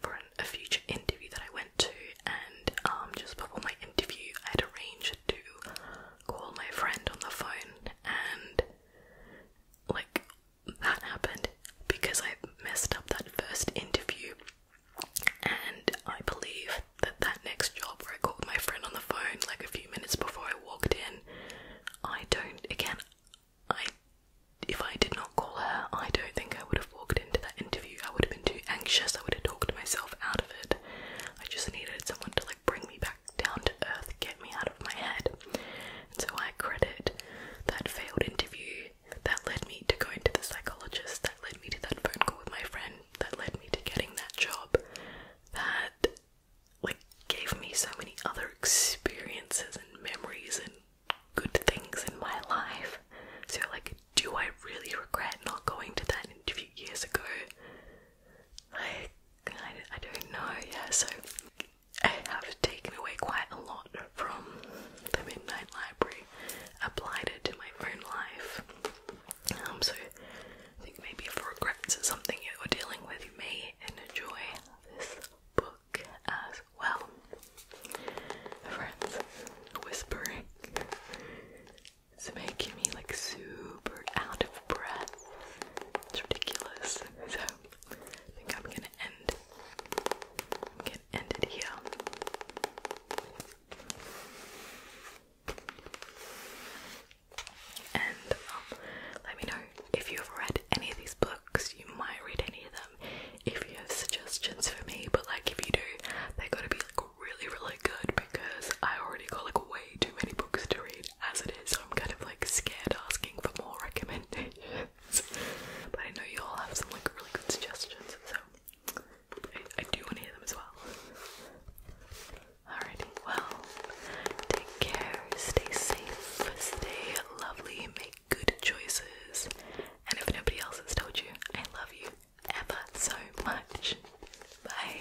Speaker 1: for a future interview that I went to and um, just before my interview I had arranged to call my friend on the phone and like that happened because I messed up that first interview, and I believe that that next job where I called my friend on the phone like a few minutes before I walked in, I don't again, I if I did not call her, I don't think I would have walked into that interview. I would have been too anxious. I would have talked myself out of it. I just needed someone to like bring me back down to earth, get me out of my head so I credit that failed interview that led me to going to the psychologist, that led me to that phone call with my friend, that led me to getting that job, that like gave me so many other experiences and memories and good things in my life. So like do I really regret not going to that interview years ago? Like I, I don't know, yeah, so I have taken away quite a lot from the Midnight Library, applied it to my own life. Um, so I think maybe if regrets are something you're dealing with, you may enjoy this book as well. Friends, whispering. It's making me like super out of breath. It's ridiculous. So I think I'm gonna end. I'm gonna end it here. And um, let me know if you've read any of these books. You might read any of them. If you have suggestions for me, but like if you do, they gotta be like really, really good because I already got like way too many books to read as it is. So I'm kind of like scared asking for more recommendations. But I know you all have some like really good suggestions, so I, do want to hear them as well. Alrighty, well, take care, stay safe, stay lovely, make good choices, and if nobody else has told you, I love you ever so much. Bye.